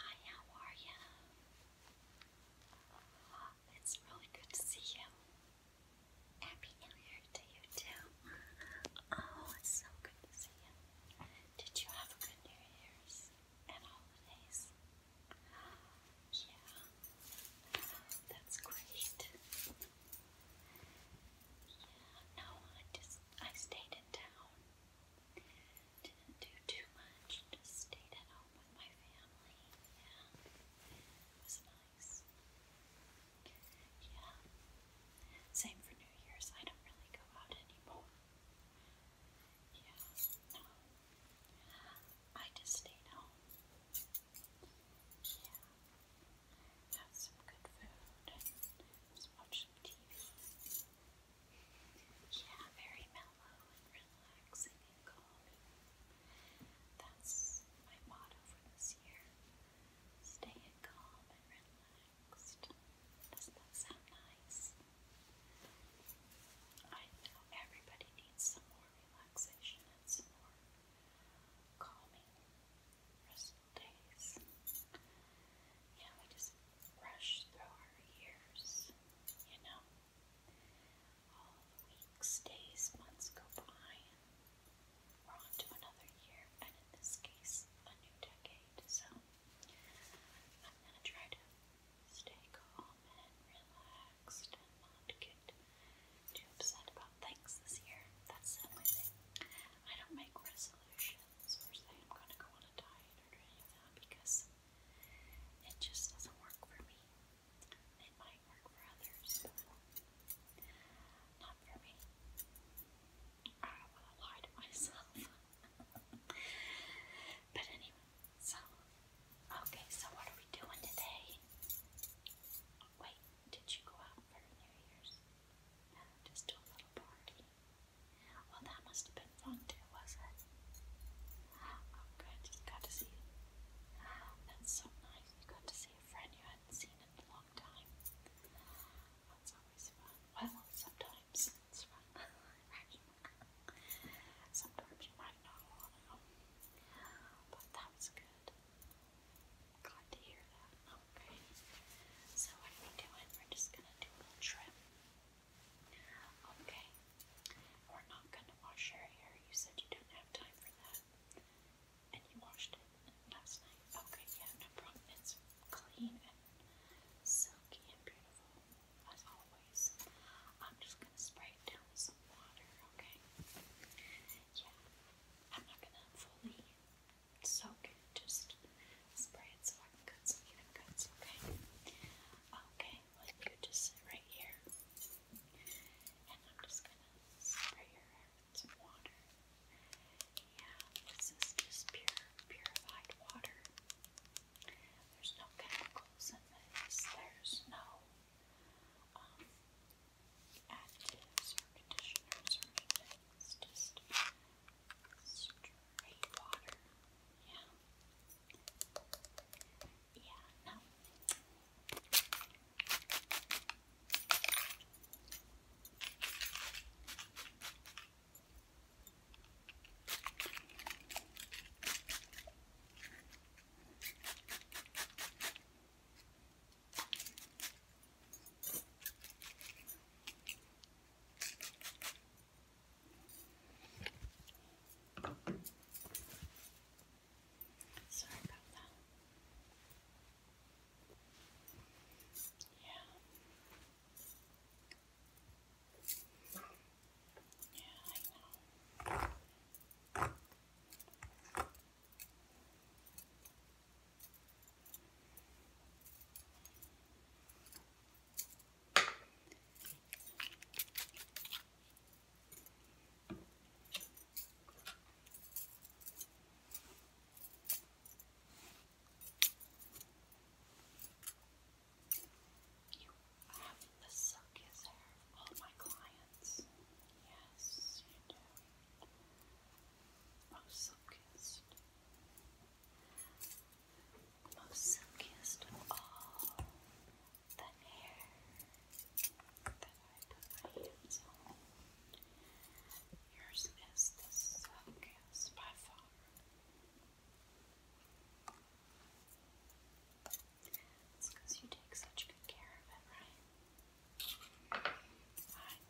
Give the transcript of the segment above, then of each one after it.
Hi, how are you? Uh, it's really good to see you. Happy New Year to you too. Oh, it's so good to see you. Did you have a good New Year's and holidays? Yeah, that's great. Yeah, no, I just I stayed in town. Didn't do too much, just stayed at home with my family, and it was nice. Yeah, same for New Year's, I don't really go out anymore. Yeah, no, I just stayed home. Yeah, have some good food and yeah, very mellow and relaxing and calming. That's my motto for this year. Staying calm and relaxed. Doesn't that sound nice? I know everybody needs some more relaxation and some more calming, rest days. Yeah, we just rush through our years, you know. All the weeks, days, months go by, and we're on another year, and in this case, a new decade. So, I'm gonna try to stay calm and relaxed not get too upset about things this year. That's the only thing. I don't make resolutions solutions or say I'm going to go on a diet or do that because it just doesn't work for me. It might work for others, not for me. I don't want to lie to myself. but anyway, so, okay, so what are we doing today? Wait, did you go out for New Year's? Just to a little party. Well, that must have been fun too, was it? Oh, good. You got to see. That's so nice. got to see a friend you hadn't seen in a long time. That's always fun. Well, sometimes it's fun, Sometimes you might not want to, but that was good. Glad to hear that. Okay. So what are we doing? We're just gonna do a little trim. Okay. We're not gonna wash your hair. You said you don't have time for that. And you washed it last night. Okay, yeah, no problem. It's clean and silky and beautiful as always. I'm just gonna spray down some water, okay? Yeah. I'm not gonna fully so can just spray it so I can cut some even cuts, okay? Okay, like you just sit right here. And I'm just gonna spray your hair with water. Yeah, this is just pure purified water. There's no chemicals in this, there's no um, Additives or conditioners or straight water. Yeah. Yeah, no. Sorry about that. Yeah. Yeah, I know. You have the silkiest hair of all my clients. Yes, you do. Most silkiest. Most silkiest of all the hair that I put my hands on. Yours is the silkiest by far. It's because you take such good care of it, right? I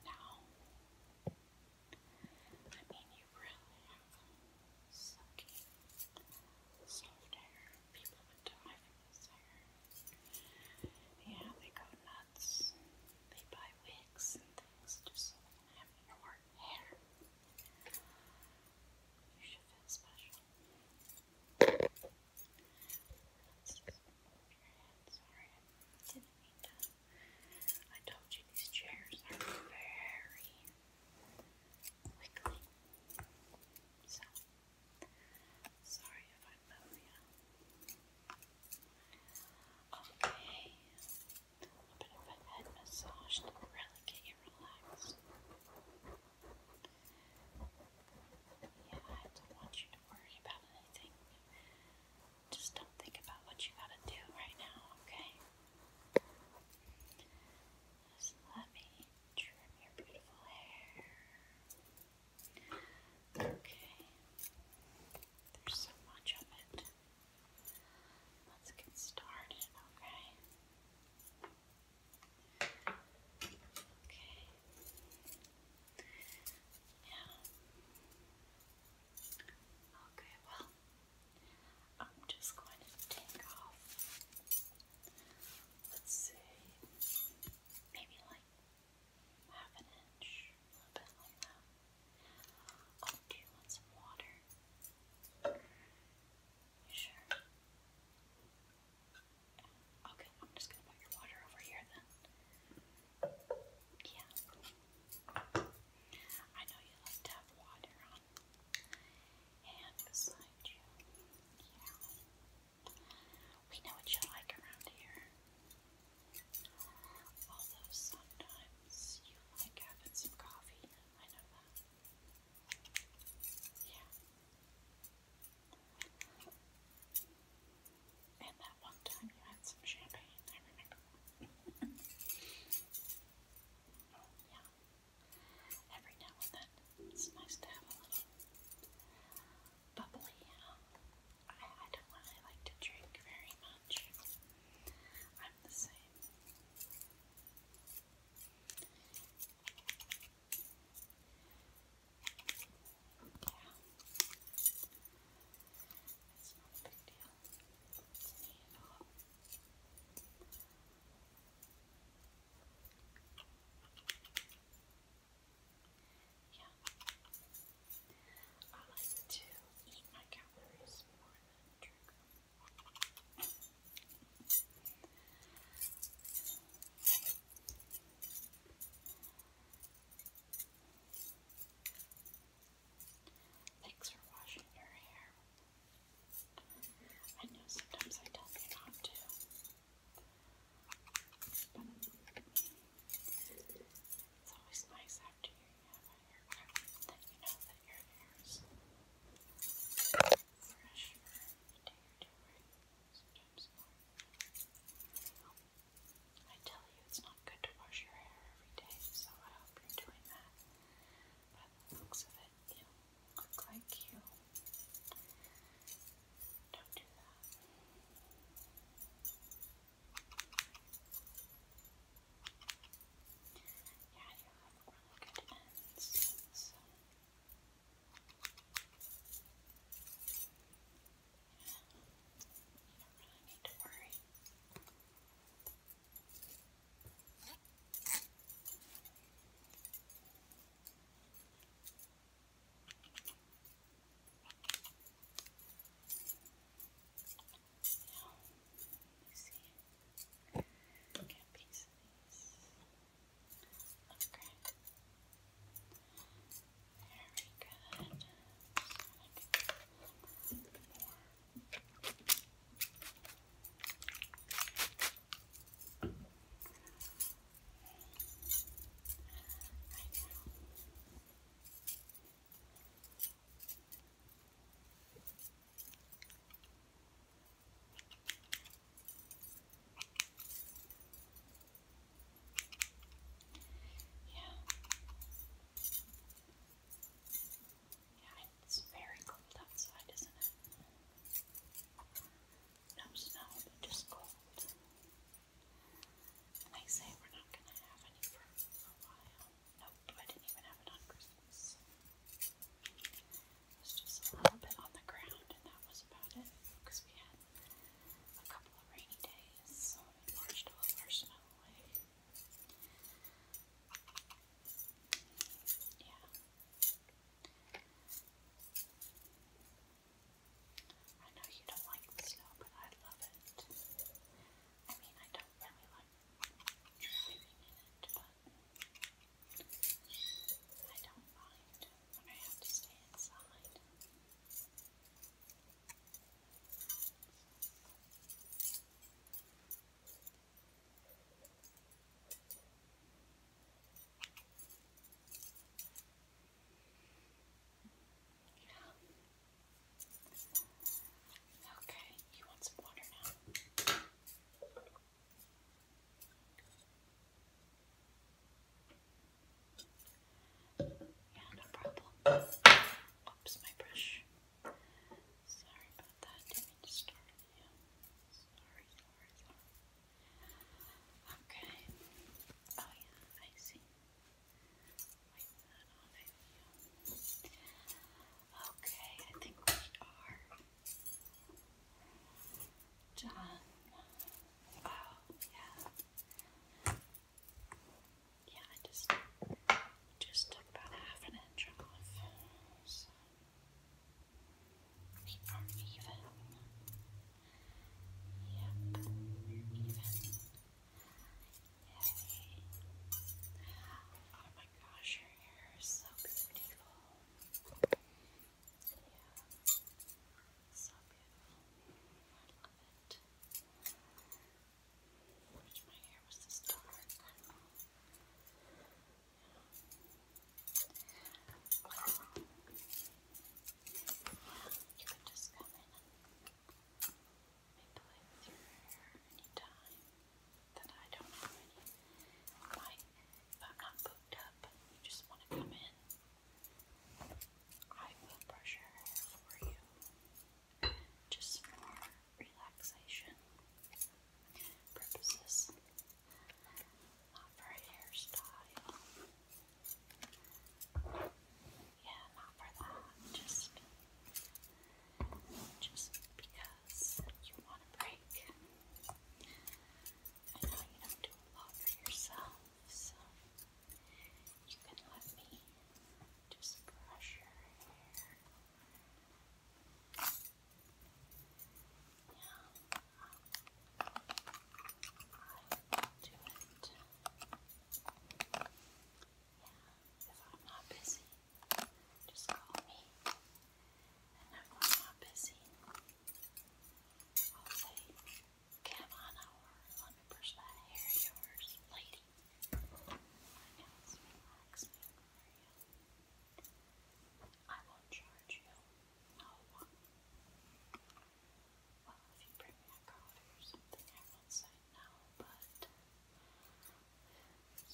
know. I mean, you really have silky, soft hair. People would die for this hair. Yeah, they go nuts. They buy wigs and things just so they your hair. You should feel special. Sorry, I told you these chairs are very wiggly. So, sorry if I move you. Okay, a bit of a head massage to really yeah, I don't want you to worry about anything. Just don't think about what you gotta do right now, okay? Just let me trim your beautiful hair. Okay. There's so much of it. Let's get started, okay? Okay. Yeah. Okay, well, I'm just going to take off, let's see, maybe like half an inch, a little bit like that. do you want some water? sure? Okay, I'm just gonna put your water over here then. Yeah. I know you like to have water on hand beside you. Yeah. We know what you like around here. Although sometimes you like having some coffee. I know that. Yeah. And that one time you had some champagne, I remember. yeah. Every now and then it's nice to have a little bubbly, I don't really like to drink very much. I'm the same. It's not a big deal. It's neat at all. Yeah. I like to eat my calories more than drink them. Thanks for washing your hair. I know sometimes I tell you not to. But it's always nice after you have a haircut that you know that your hair fresh I tell you, it's not good to wash your hair every day, so I hope you're doing that. By the looks of it, you look like you. Don't do that. Yeah, you have really good ends. So. Yeah, you don't really need to worry. Okay. Now, let me see. Get a piece of these. Okay. Very good. Just make a more. Right now. Right now. Yeah. Yeah, it's very cold outside, isn't it? No snow, but just cold. And they say we're not going to have any for a while. Nope, I didn't even have it on Christmas. It was just a little bit on the ground, and that was about it because we had a couple of rainy days, so we washed all snow Yeah. I know you don't like the snow, but I love it. I mean, I don't really like it, but I don't mind when I have to stay inside. Yeah. Okay, you want some water now? Yeah, no problem. Oops, my brush. Sorry about that. Didn't mean to start you. Sorry, Okay. Oh yeah, I see. Like that Okay, I think we are done. Oh, yeah. Yeah, I just just took about half an inch off. we are even. Yep, even heavy. Oh my gosh, your hair is so beautiful. Yeah, so beautiful. I love it. I my hair was this dark. you could just come in I play your hair anytime that I don't have any. if I'm not booked up you just want to come in, I will brush your hair for you. Just for relaxation purposes, not for hairstyle. Yeah, not for that. Just, just because you want a break. I know you don't do a lot for yourself, so you can let me just brush your hair. Yeah, um, I will do it. Yeah, if I'm not busy, just call me. And if I'm not busy, I'll say, come on over and let me brush that hair of yours, lady. I know it's relaxing for you. I won't charge you. No one well, if you bring me a card or something, I won't say no, but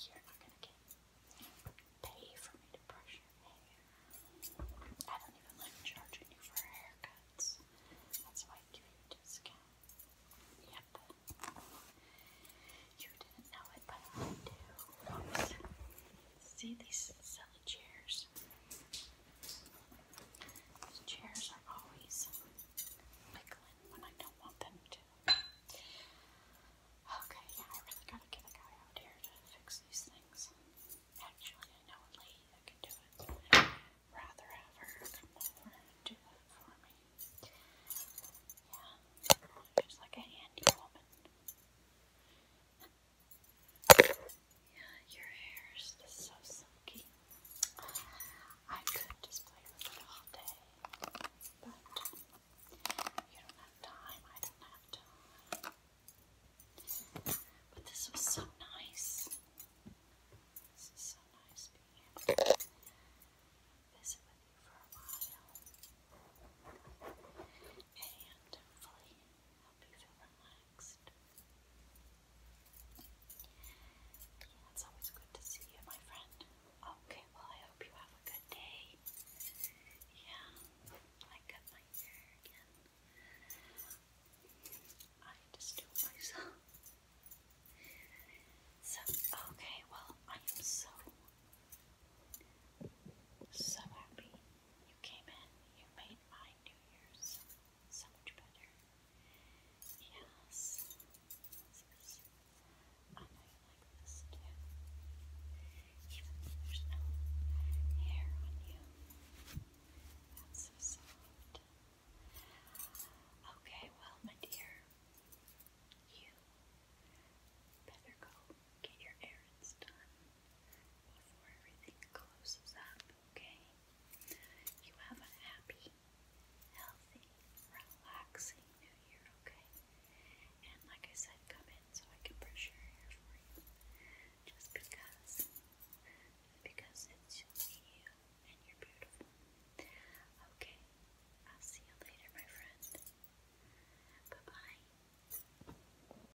you're not gonna get pay for me to brush your hair. I don't even like charging you for haircuts. That's why I give you a Yep. You didn't know it, but I do. See these silly chairs? chairs are always wiggling when I don't want them to. Okay, I really gotta get a guy out here to fix these things. Actually, I know a lady that can do it. rather have her do it for me. Yeah, she's like a handy woman. Yeah, your hair is just so silky. I could just play with it all day, but you don't have time. I don't have time. But this was so nice. This is so nice being with you for a while. And hopefully help you feel relaxed relaxed. always good to see you, my friend. Okay, well, I hope you have a good day. Yeah, I cut my hair again. I just do myself. So, okay, well, I am so, so happy you came in. You made my New Year's so much better. Yes. I like this Even there's no hair on you. That's so soft. Okay, well, my dear, you better go get your errands done before everything closes up, okay? You have a happy, healthy, relaxing new year, okay? And like I said, come in so I can brush your hair for you. Just because. Because it's you and you're beautiful. Okay, I'll see you later, my friend. Bye